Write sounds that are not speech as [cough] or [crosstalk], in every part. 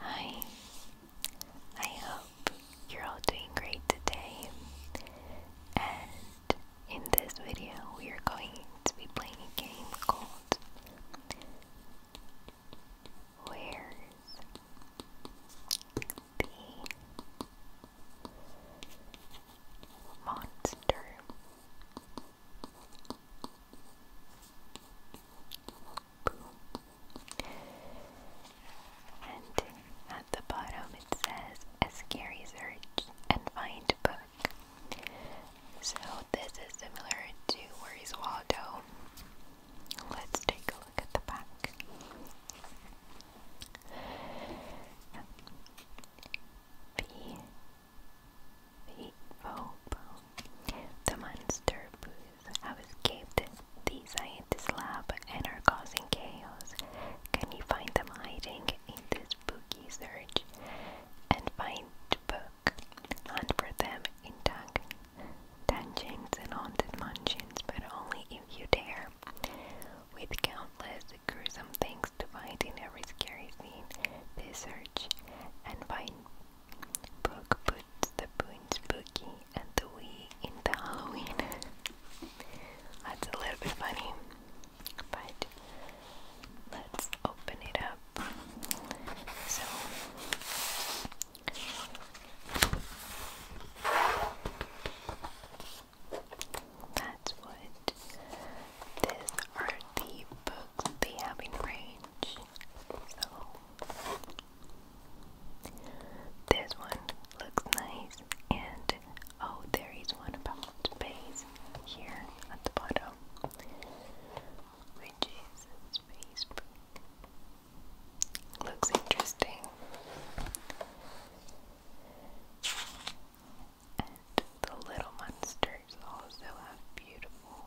Hi, I hope you're all doing great today. And in this video, we are going to be playing a game called Where's the Monster? And at the bottom it says a scary search and find book. So this is similar to Where is Waldo? Let's take a look at the back. The monster have escaped the scientist lab and are causing chaos. Can you find them hiding in this spooky search and find book? Hunt for them in dungeons and haunted mansions, but only if you dare. With countless gruesome things to find in every scary scene, they search and find book puts the boo in spooky and the wee in the Halloween. [laughs] That's a little bit funny, but let's open it up. So, that's what these are the books they have in range. So, this one looks nice, and oh, there is one about space here at the bottom, which is space. Looks interesting. And the little monsters also have beautiful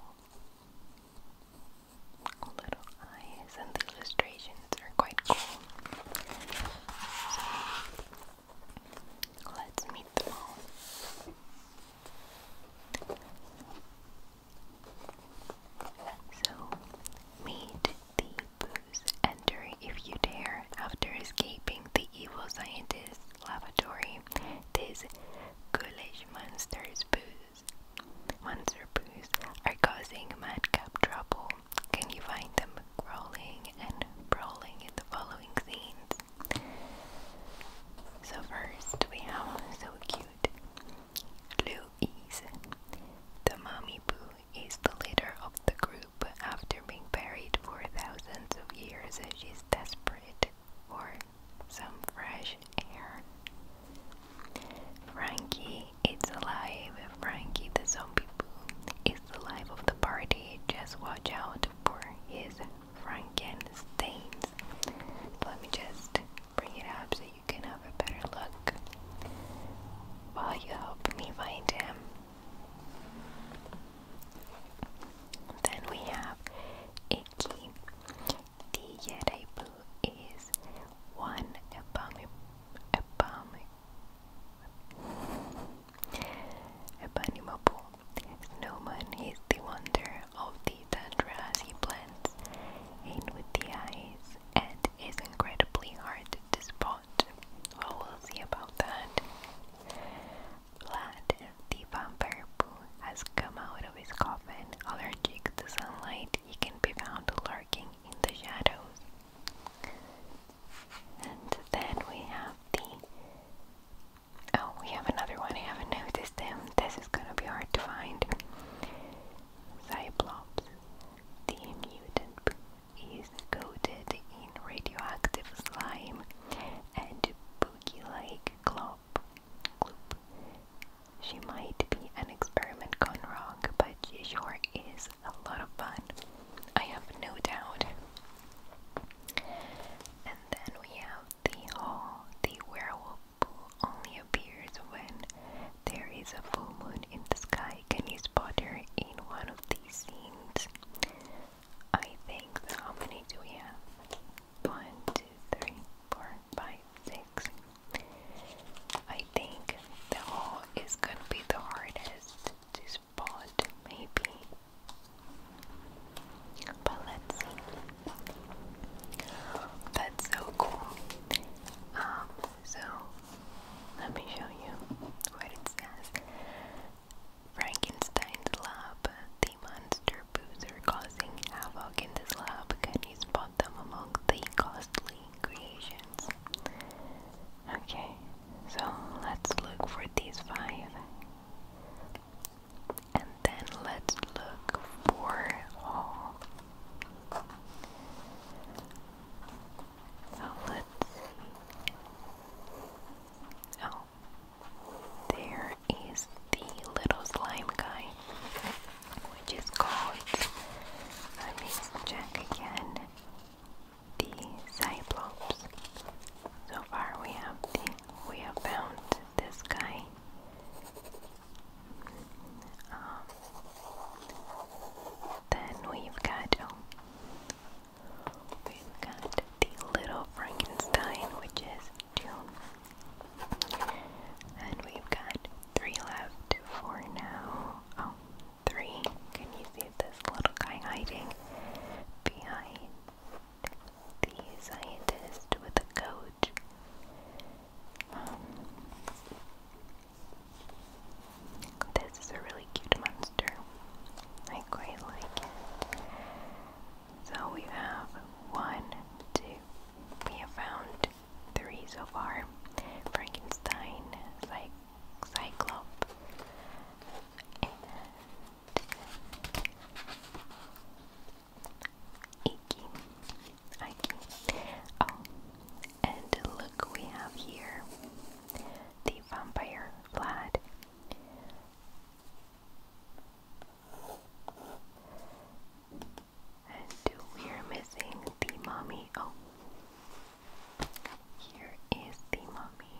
little eyes, and the illustrations are quite cool. let's meet them all. So, meet the booze enter if you dare after escaping the evil scientist's lavatory. These ghoulish monsters booze Poos. Monster Poos are causing madcap trouble. Can you find them growling and brawling in the following scenes? So first we have so cute Louise. The mommy poo is the leader of the group after being buried for thousands of years. She's desperate for some fresh air. Frankie it's alive. Frankie the zombie boo is the life of the party. Just watch out for his Frankensteins. Let me just bring it up so you can have a better look while you help me find him. Then we have Icky. The Yeraibu is one abami, abami, Abanimabu. Snowman is the wonder of the Tandrasi plants, and with the eyes, and is incredibly hard to spot. Well, we'll see about that. Vlad, the vampire poo, has come out of his coffin, allergic to sunlight he can be found lurking in the shadows. And then we have the. Oh, we have another one. I haven't noticed him. This is gonna be hard to find. Cyclops. The mutant is coated in radioactive slime and boogie like glop. Gloop she might be an experiment gone wrong, but she sure is a lot of fun. I have no doubt. And then we have the hall. The werewolf pool only appears when there is a full moon in the sky. Can you spot her in one of these scenes? I think How many do we have? One, two, three, four, five, six, I think the hole is gonna be the hardest to spot, maybe. But let's see. That's so cool. Um, so let me show you what it says. Frankenstein's lab, the monster boozer causing havoc in this lab. Can you spot them among the costly creations. Okay, so let's look for these five. And then let's look for all. So let's see. Oh, there is the little slime guy which is called, let me check again, the Cyclops. So far we have the, we have found this guy. Um, then we've got, oh, we've got the Little Frankenstein, which is June. And we've got Three left, four now. Oh, three. Can you see this little guy hiding behind the scientist with a coat? Um, this is a really cute monster. I quite like it. So we have one, two. We have found three so far Frankenstein, Cy Cyclope, and Iki. Oh, and look, we have here the vampire Vlad. And we're missing the mommy. Oh, here is the mommy.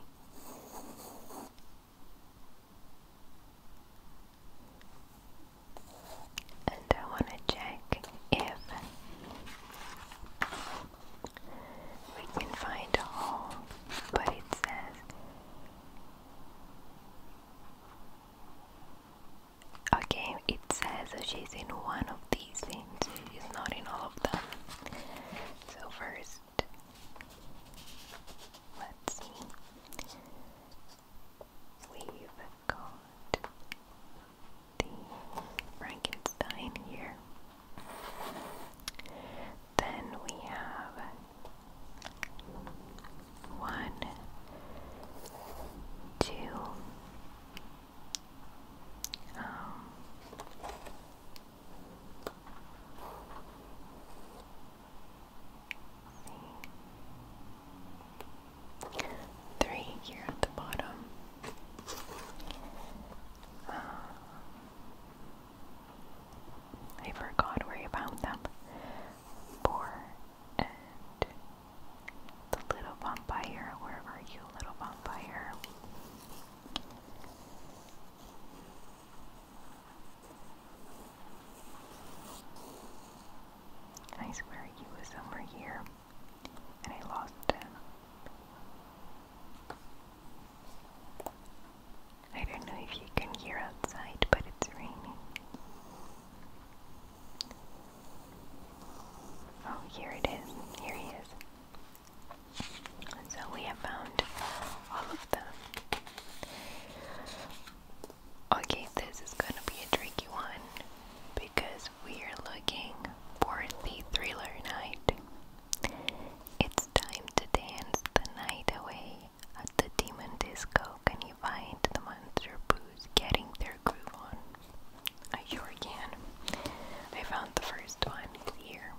And I want to check if we can find a hole, but it says Okay, it says she's in one of these things. she's not in all of them. So, first, let's see. We've got the Frankenstein here. Then we have one, two, um, Three here at the bottom. Uh, I forgot where you found them. Four the little vampire. Where are you, little vampire? I swear he was somewhere here and I lost him. I don't know if you can hear outside, but it's raining. Oh, here it is. Here he is. so we have found all of them. Okay, this is gonna be a tricky one because we are looking for the thriller night. It's time to dance the night away at the demon disco. Can you find the monster booze getting their groove on? I sure can. I found the first one here.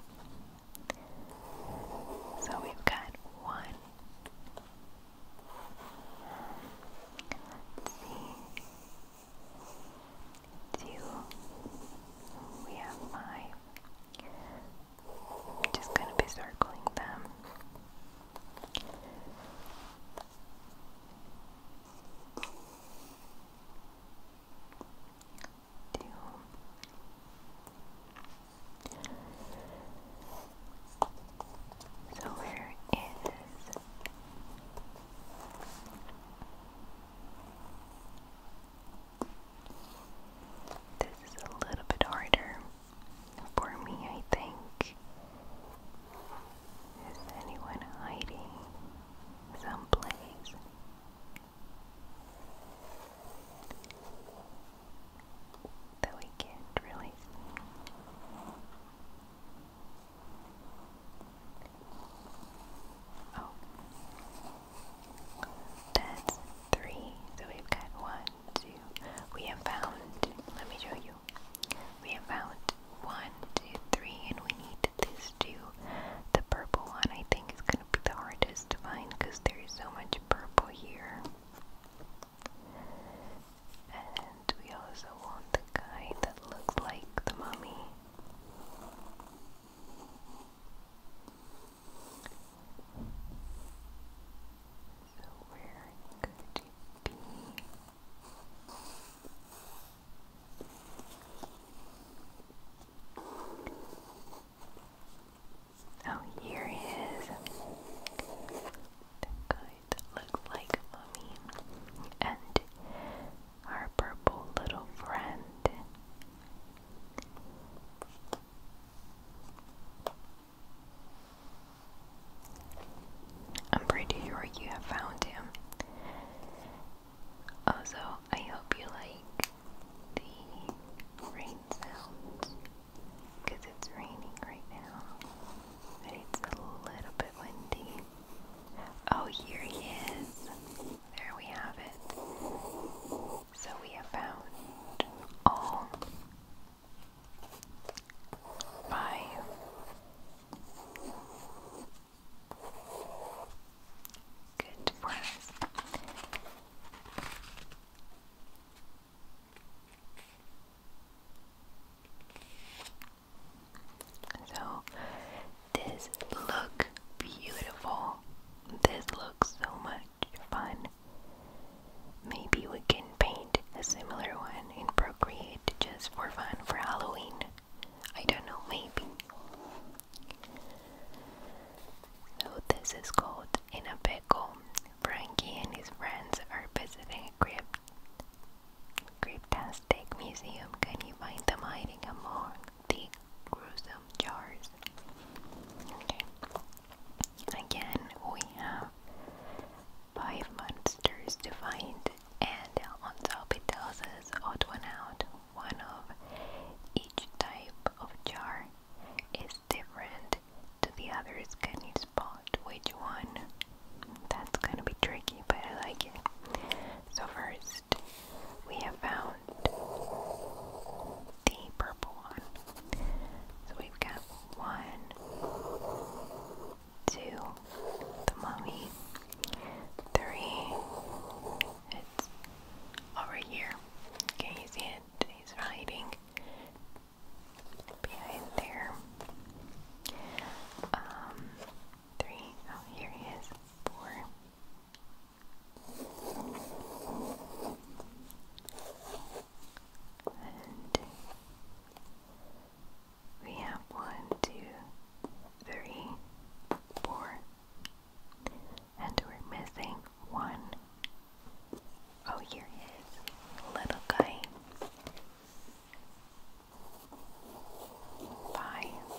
So we've got one. Let's see. Two. We have got one 2 I'm just gonna be circling them. Two. So where is this is a little bit harder for me, I think. Is anyone hiding? someplace. That we can't really Oh, that's three. So we've got one, two. We have found, let me show you. We have found one, two, three, and we need this next the purple one, I think is gonna be the hardest to find because there is so much purple here. And we also want the guy that looks like the mummy. So where could it be? Oh, here he is! that looks like Mummy and our purple little friend. I'm pretty sure you have found him. Also, I hope you like the rain sounds because it's raining right now, but it's a little bit windy. Oh, here he is. There we have it. So we have found all five Good So, this look beautiful. This looks so much fun. Maybe we can paint a similar one in Procreate just for fun for Halloween. I don't know, maybe. So, this is called In a Pickle. Frankie and his friends are visiting a creepy, Cryptastic museum. Can you find them hiding among the gruesome jars? Okay. Again, we have five monsters to find and on top it tells us odd one out. One of each type of jar is different to the others. Can you spot which one? That's gonna be tricky, but I like it. So first, we have found the purple one. So we've got one, two, the mummy, three. over here. Can you see it? He's riding behind there. Um, three. Oh, here he is. Four. And we have one, two, three, four, and we're missing one. Oh, here he little guy. Five.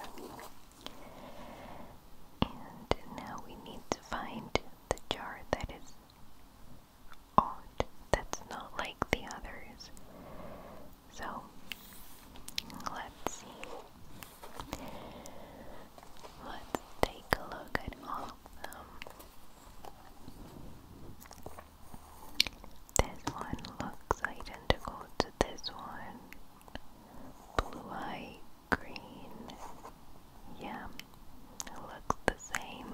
And now we need to find the jar that is odd, that's not like the others. So, let's see. Let's take a look at all of them. This one looks identical to this one. Blue eye, green. Yeah, looks the same.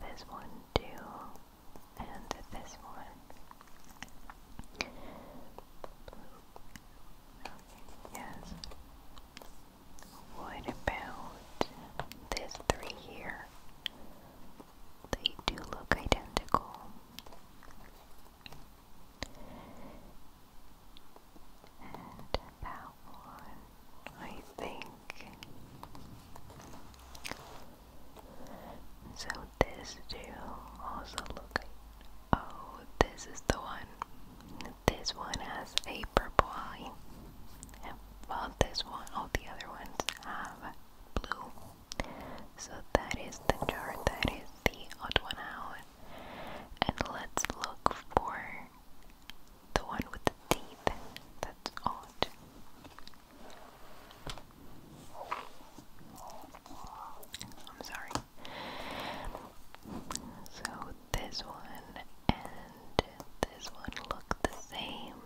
This one, too and this one. Yes. What about this three here? They do look identical. And that one, I think so this too also look like oh this is the one. This one has a purple eye. Well this one all the other ones have blue. So that is the chart, that is the odd one out. And let's look for the one with the teeth. That's odd. I'm sorry. So this one and this one look the same.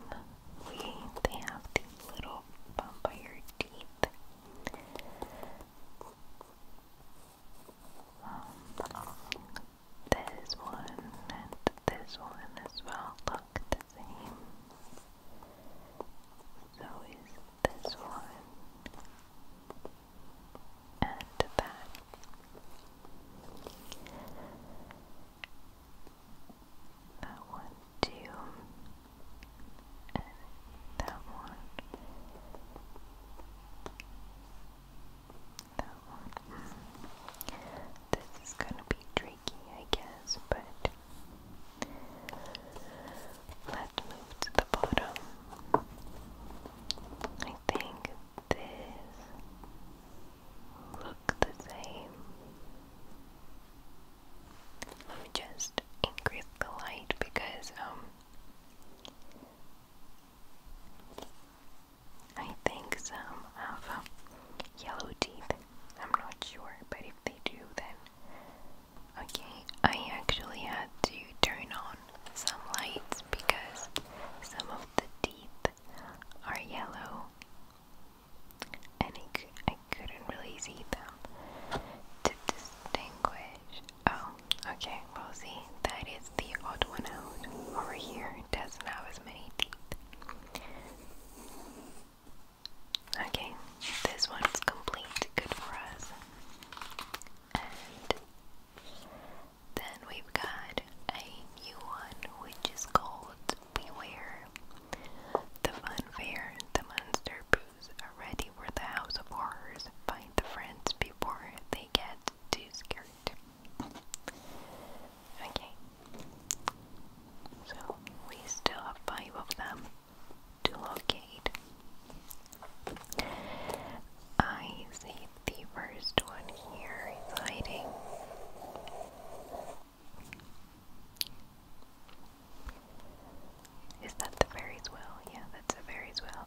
We they have these little vampire teeth. Um, this one and this one as well. Look, same. So is this one and that. That one too. And that one. That one. Hmm. This is gonna be tricky, I guess, but Let's move to the bottom. I think this look the same. Let me just increase the light because um, I think some have um, yellow teeth. I'm not sure, but if they do then Okay, I actually had to turn on some lights because some of the teeth are yellow and I c I couldn't really see them to distinguish. Oh, okay, Well, see. That is the odd one out over here. doesn't have as many teeth. Okay, this one's complete, good for us. And then we've got a new one which is called Beware. The fun fair, the monster poos are ready the house of horrors. Find the friends before they get too scared. Okay. So we still have five of them to locate. I see the first one here is hiding. Is that the fairy's will? Yeah, that's a fairy's well.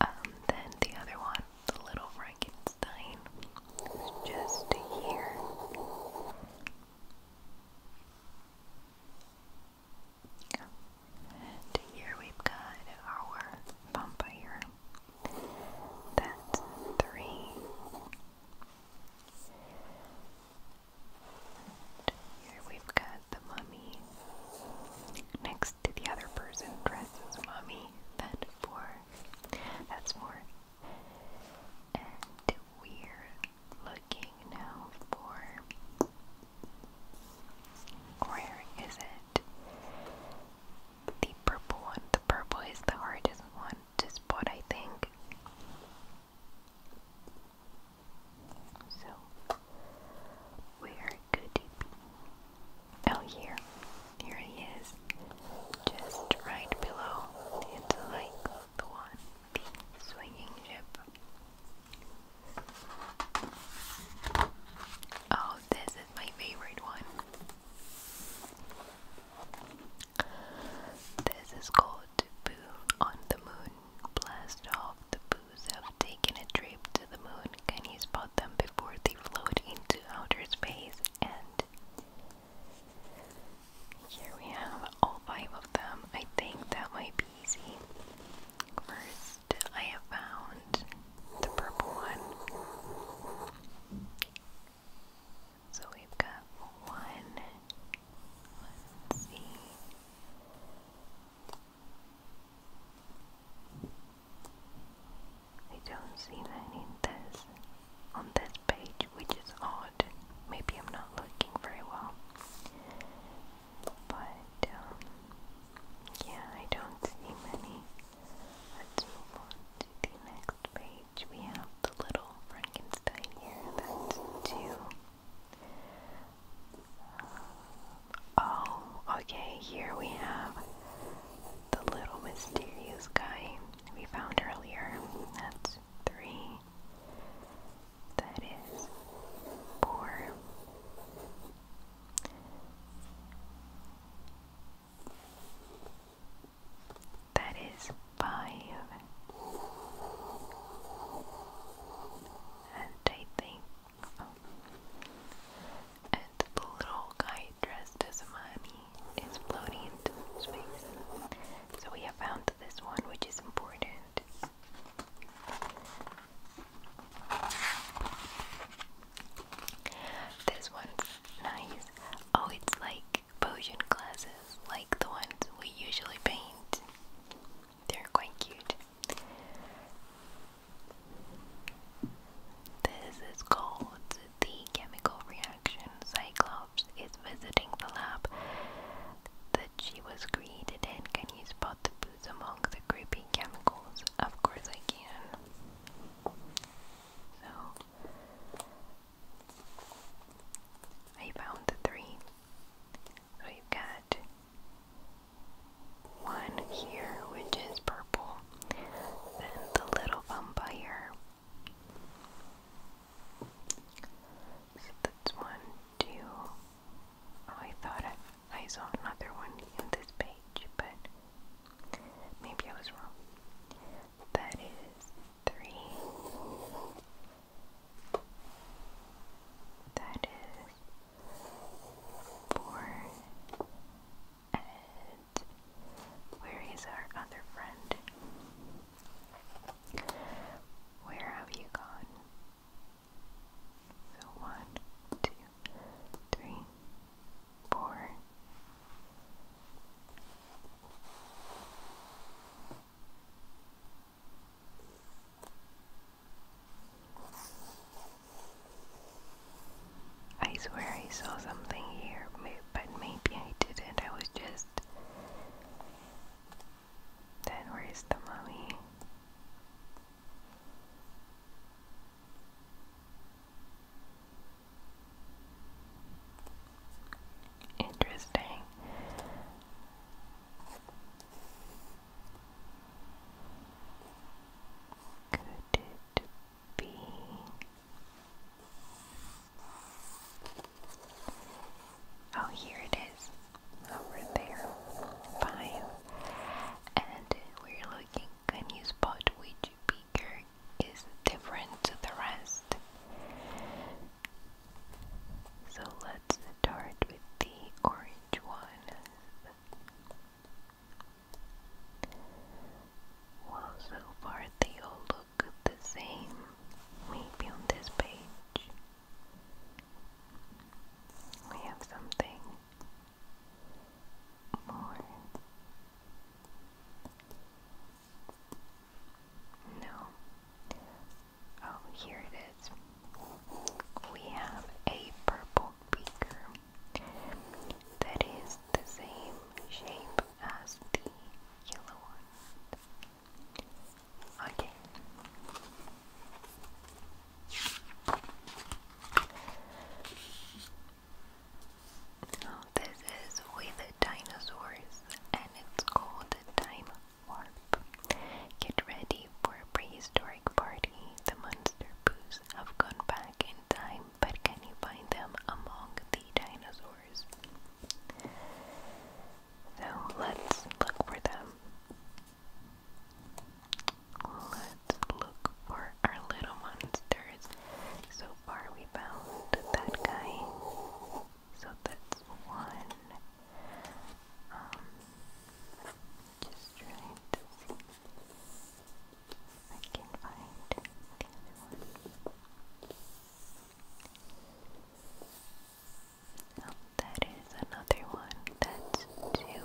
Um, then the other one, the little Frankenstein, is just here here we've got our vampire. That's three. here we've got the mummy. Next to the other person dressed as mummy. That's four. That's four. And we're looking now for. Where is it? The purple one. The purple is the hardest one to spot, I think. So, where could it be? Oh, here. Here he is. Just right below. It's like the one, the swinging ship. Oh, this is my favorite one. This is called Boo on the Moon. Blast off the boos have taken a trip to the moon. Can you spot them before they float into outer space and here we have all five of them. I think that might be easy. First, I have found the purple one. So we've got one. Let's see. I don't see any this on this page, which is odd maybe I'm not looking very well. But, um, yeah, I don't see many. Let's move on to the next page. We have the little Frankenstein here. That's two. Uh, oh, okay, here we have the little mysterious guy we found earlier. That's three that is poor. That is five. And I think oh, and the little guy dressed as a mommy is floating into space. So we have found this one which is important. This one's nice. Oh, it's like potion glasses, like the ones we usually paint. They're quite cute. This is called the chemical reaction. Cyclops is visiting the lab she was created and Can you spot the boots among the creepy chemicals? Of course I can. So I found the three. So got one here, which is purple, then the little vampire. So that's one, two, Oh, I thought I saw another one in this page, but maybe I was wrong. That is three. That is four. And where is our other friend? Where have you gone? So one, two, three, four. I swear I saw something here, but maybe I didn't. I was just then where is the mummy? Interesting. Could it be? Oh, here it is over there. Fine. And we're looking a new spot which bigger is different to the rest. So let's start with the orange one. Well, so far they all look the same. Maybe on this page. We have something more. No. Oh, here it is. We have a purple beaker that is the same shape as the yellow one. Okay. Oh, this is with dinosaurs and it's called Time Warp. Get ready for a prehistoric party. The monster poos have gone back in time, but can you find them among the dinosaurs? So let's look for them. Let's look for our little monsters. So far we found that guy. So that's one. Um, just trying to see if I can find the other one that is another one. That's two.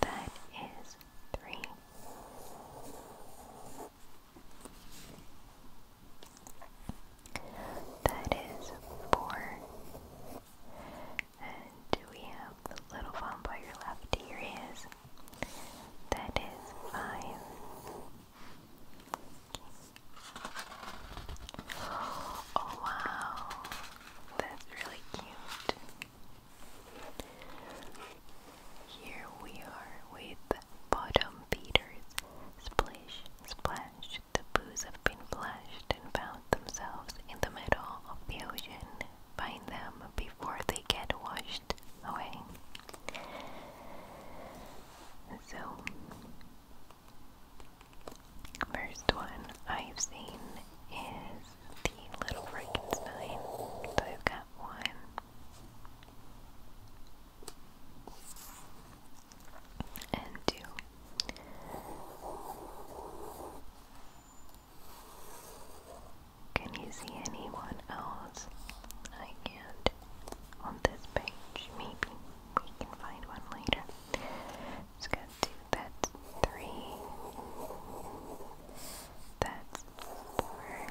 That is three. That is four. And we have the little one by your left. Here is. That is five. Oh wow, that's really cute. Here we are with bottom feeders. Splish, splash, the boos have been flushed and found themselves in the middle of the ocean. Find them before they get washed away. So, first one I've seen is the Little Frankenstein. So I've got one, and two. Can you see anyone else? I can't. On this page, maybe we can find one later. It's got two, that's three, that's four,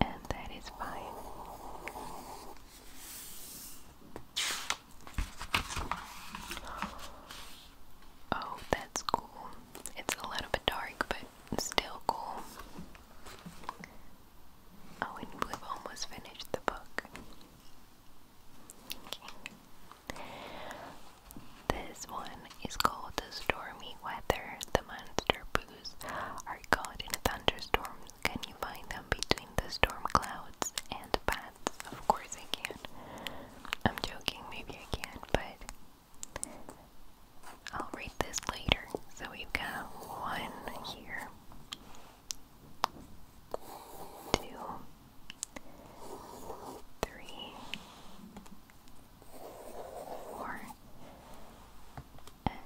and that is five. Oh, that's cool. It's a little bit dark, but still cool. Oh, and we've almost finished the book. This one is called The Stormy Weather. The monster boos are caught in a thunderstorm can you find them between the storm clouds and paths? Of course I can. I'm joking, maybe I can, but I'll read this later. So we've got one here, two, three, four, and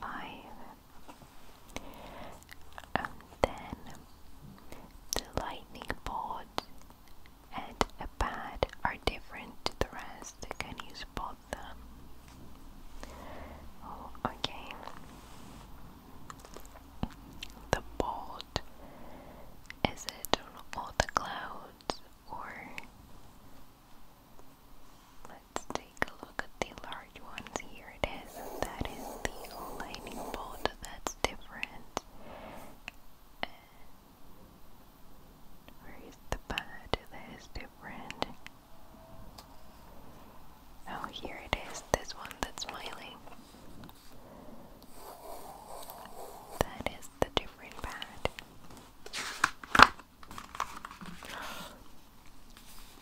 five, and then the lightning bolt and a pad are different to the rest. Can you spot them? Oh, okay. The bolt is it on all the clouds or Let's take a look at the large ones. Here it is. That is the lightning bolt. That's different. where is the pad? That is different. Oh, here it is. This one that's smiling. That is the different pad.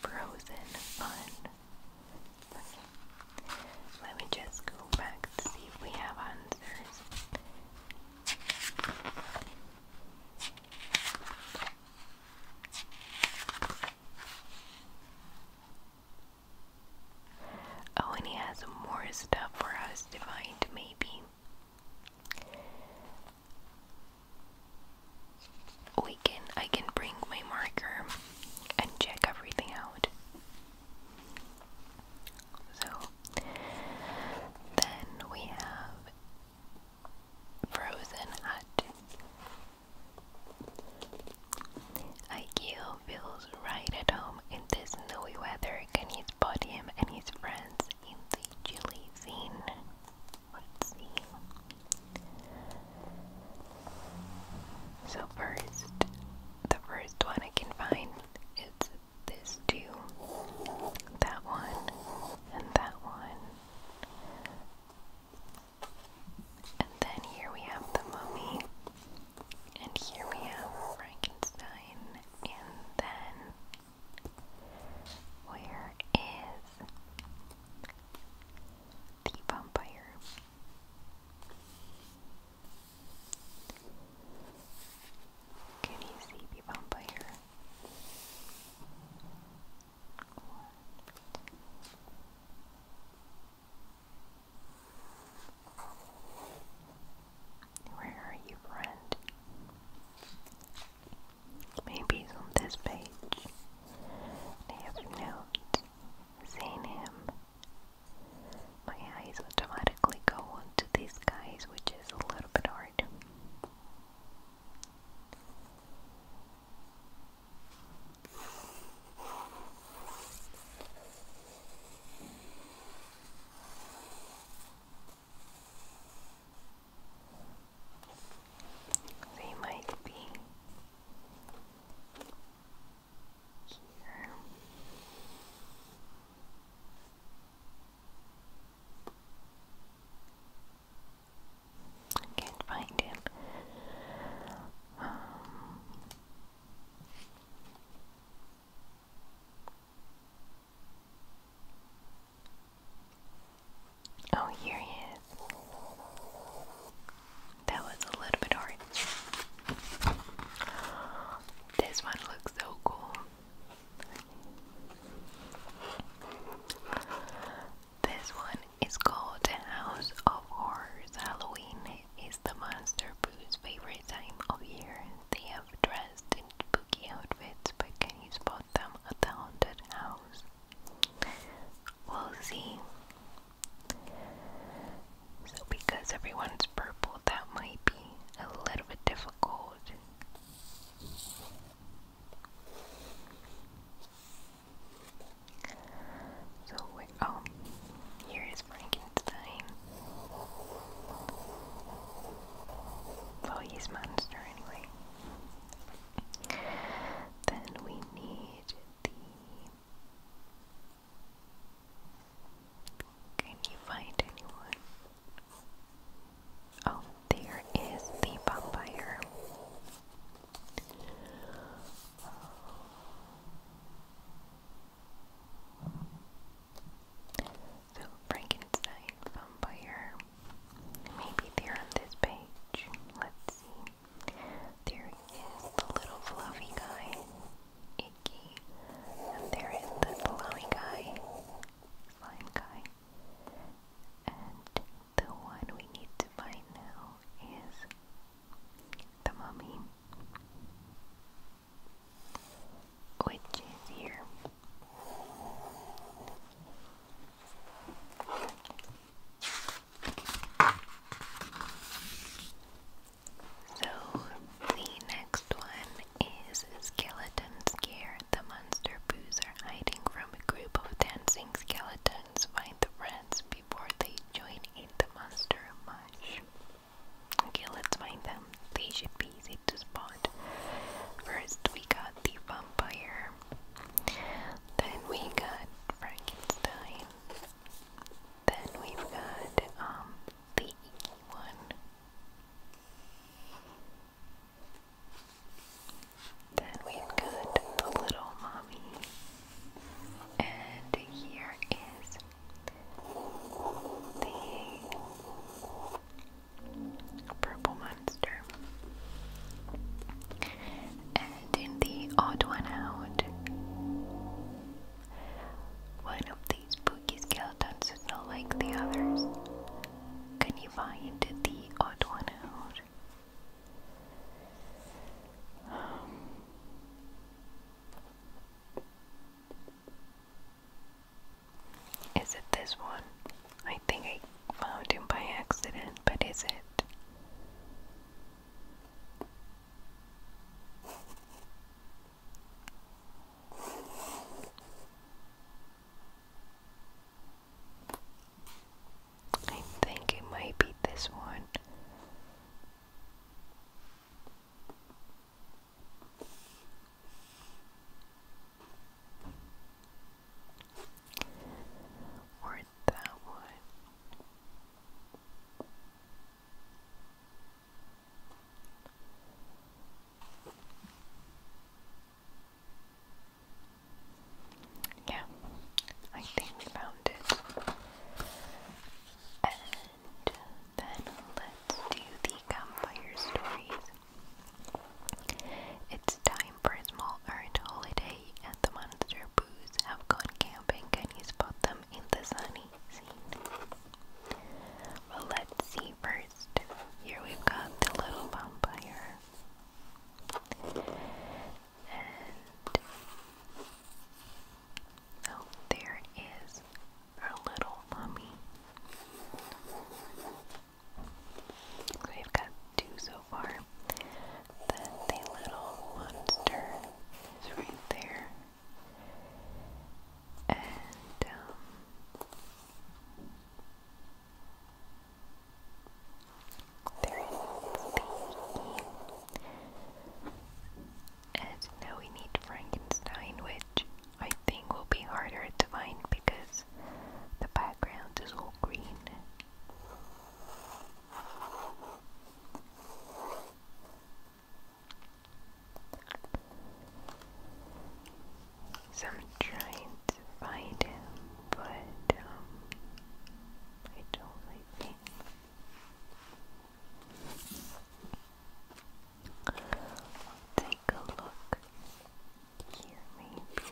Frozen fun. Let me just go back to see if we have answers. Oh, and he has more stuff for us to find, maybe we can I can bring my marker and check everything out. So then we have Frozen Hut. Aikio feels right at home in this snowy weather and his him and his friends in the chilly scene. Let's see. So first, the first one I can find is this two, that one, and that one. And then here we have the mummy, and here we have Frankenstein, and then where is the vampire? Can you see the vampire? Where are you, friend? Maybe on this page. They have not seen him. My eyes automatically go on these guys, which is a little bit hard. They might be here. can't find it. Oh, here he is. That was a little bit hard. This one looks so cool. This one is called The House of Horrors. Halloween is the monster boo's favorite time of year. They have dressed in spooky outfits, but can you spot them at the haunted house? We'll see. So, because everyone's purple, that might be a little bit difficult. So, oh, here is Frankenstein. Well, oh, he's monster anyway. Then we need the. Can you find anyone? Oh, there is the vampire. So oh. Frankenstein vampire. Maybe they on this page. Let's see. There is the little fluffy guy, Icky. And there is the slimy guy, slime guy. And the one we need to find now is the mummy, which is here. So, the next one is Skeleton Scare. The monster boos are hiding from a group of dancing skeletons. Find the rats before they join in the monster mush. Okay, let's find them. They should be easy to spot. First, we got the vampire. Then we got Frankenstein. Then we've got um the one. Then we've got the little mommy. And here is the purple one. And in the odd one out, one of these spooky skeletons is not like the others. Can you find the odd one out? is it this one? I think I found him by accident, but is it? I think it might be this one. Or yeah, I think we found it. And then let's do the campfire stories. It's time for a small earned holiday the monster boos have gone camping. Can you spot them in the sunny scene? Well, let's see first. Here we've got the little vampire. And oh, there is our little mummy. we've got two so far that the little monster is right there. And, um, there is the And now we need Frankenstein, which I think will be harder to find because the background is all green. I'm trying to find him, but um, I don't like Take a look here, maybe.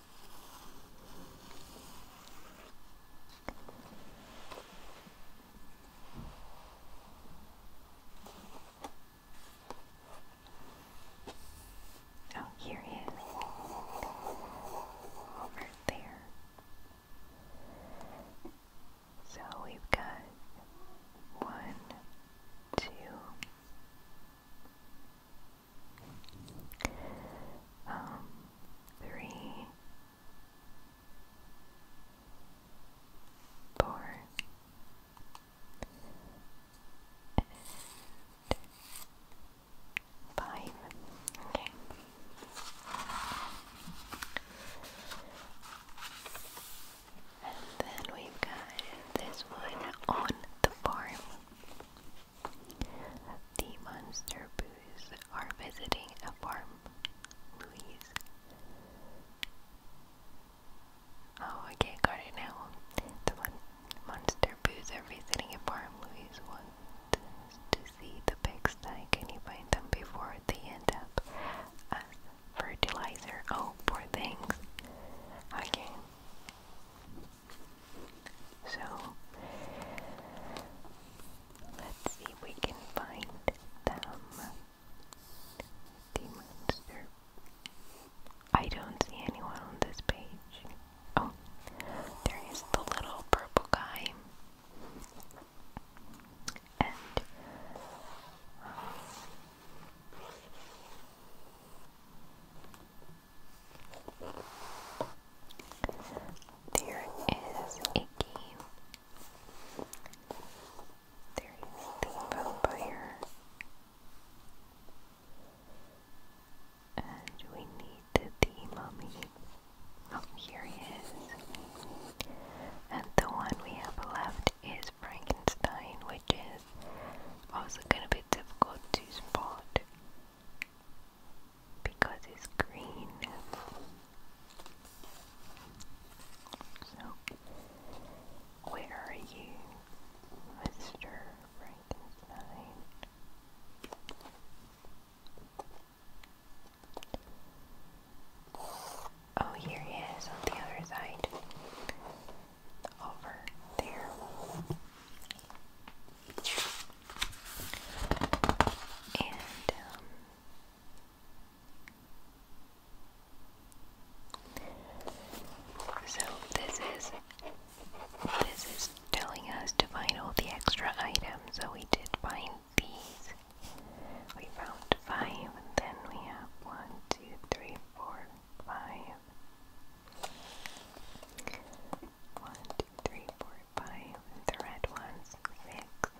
Oh, here he is. Over there. So we've got one, two, um, three, Okay. And then we've got this one on the farm. The monster boos are visiting a farm. Louise. Oh, okay, got it now. The mon monster boos are visiting a farm. Louise wants to see the pigsty. Can you find them before they end up as fertilizer? Oh, poor things. Okay. So let's see if we can find them. The monster. I don't see anyone on this page. Oh, there is the little purple guy. And um, there is a game. There is the vampire. And we need the, the mummy. Oh, here he is. And the one we have left is Frankenstein, which is also gonna be difficult to spot because it's green. So, where are you, Mr. Frankenstein? Oh, here he is on the other side. Over there. Um, so this is this is telling us to find all the extra items. So we did find these. We found five, and then we have one, two, three, four, five. One, two, three, four, five. The red ones, six.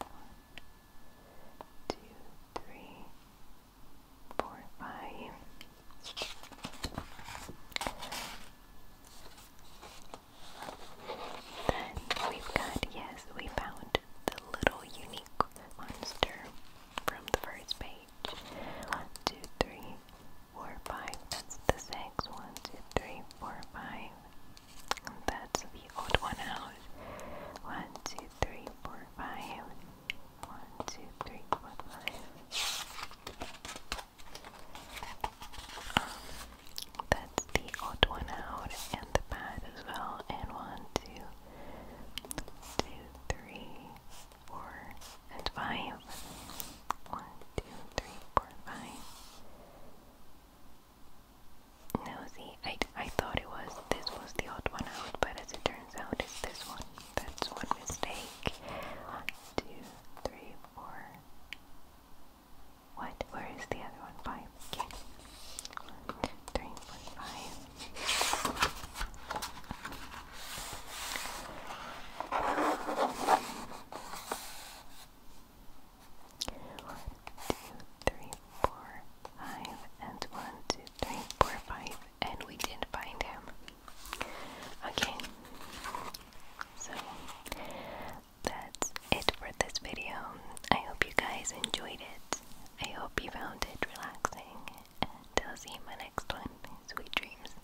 One, two, three, four, five. Then we've got, yes, we found the little unique monster from the first page. One, two, three, four, five. That's the six. One, two, three, four, five. And that's the odd one out. One, two, three, four, five. One, two, three, four, five. Um, that's the odd one out and the bad as well. And one, two, two, three, four, and five. One, two, No, see, thought it was this was the odd one out, but as it turns out, it's this one. That's one mistake. One, two, three, four. What? Where is the other one? Five. Okay. One, two, three, four, five. One, two, three, four, five, and one, two, three, four, five, and we did find him. Okay, so that's it for this video. I hope you guys enjoyed it. I hope you found it relaxing, and I'll see you in my next one. Sweet dreams.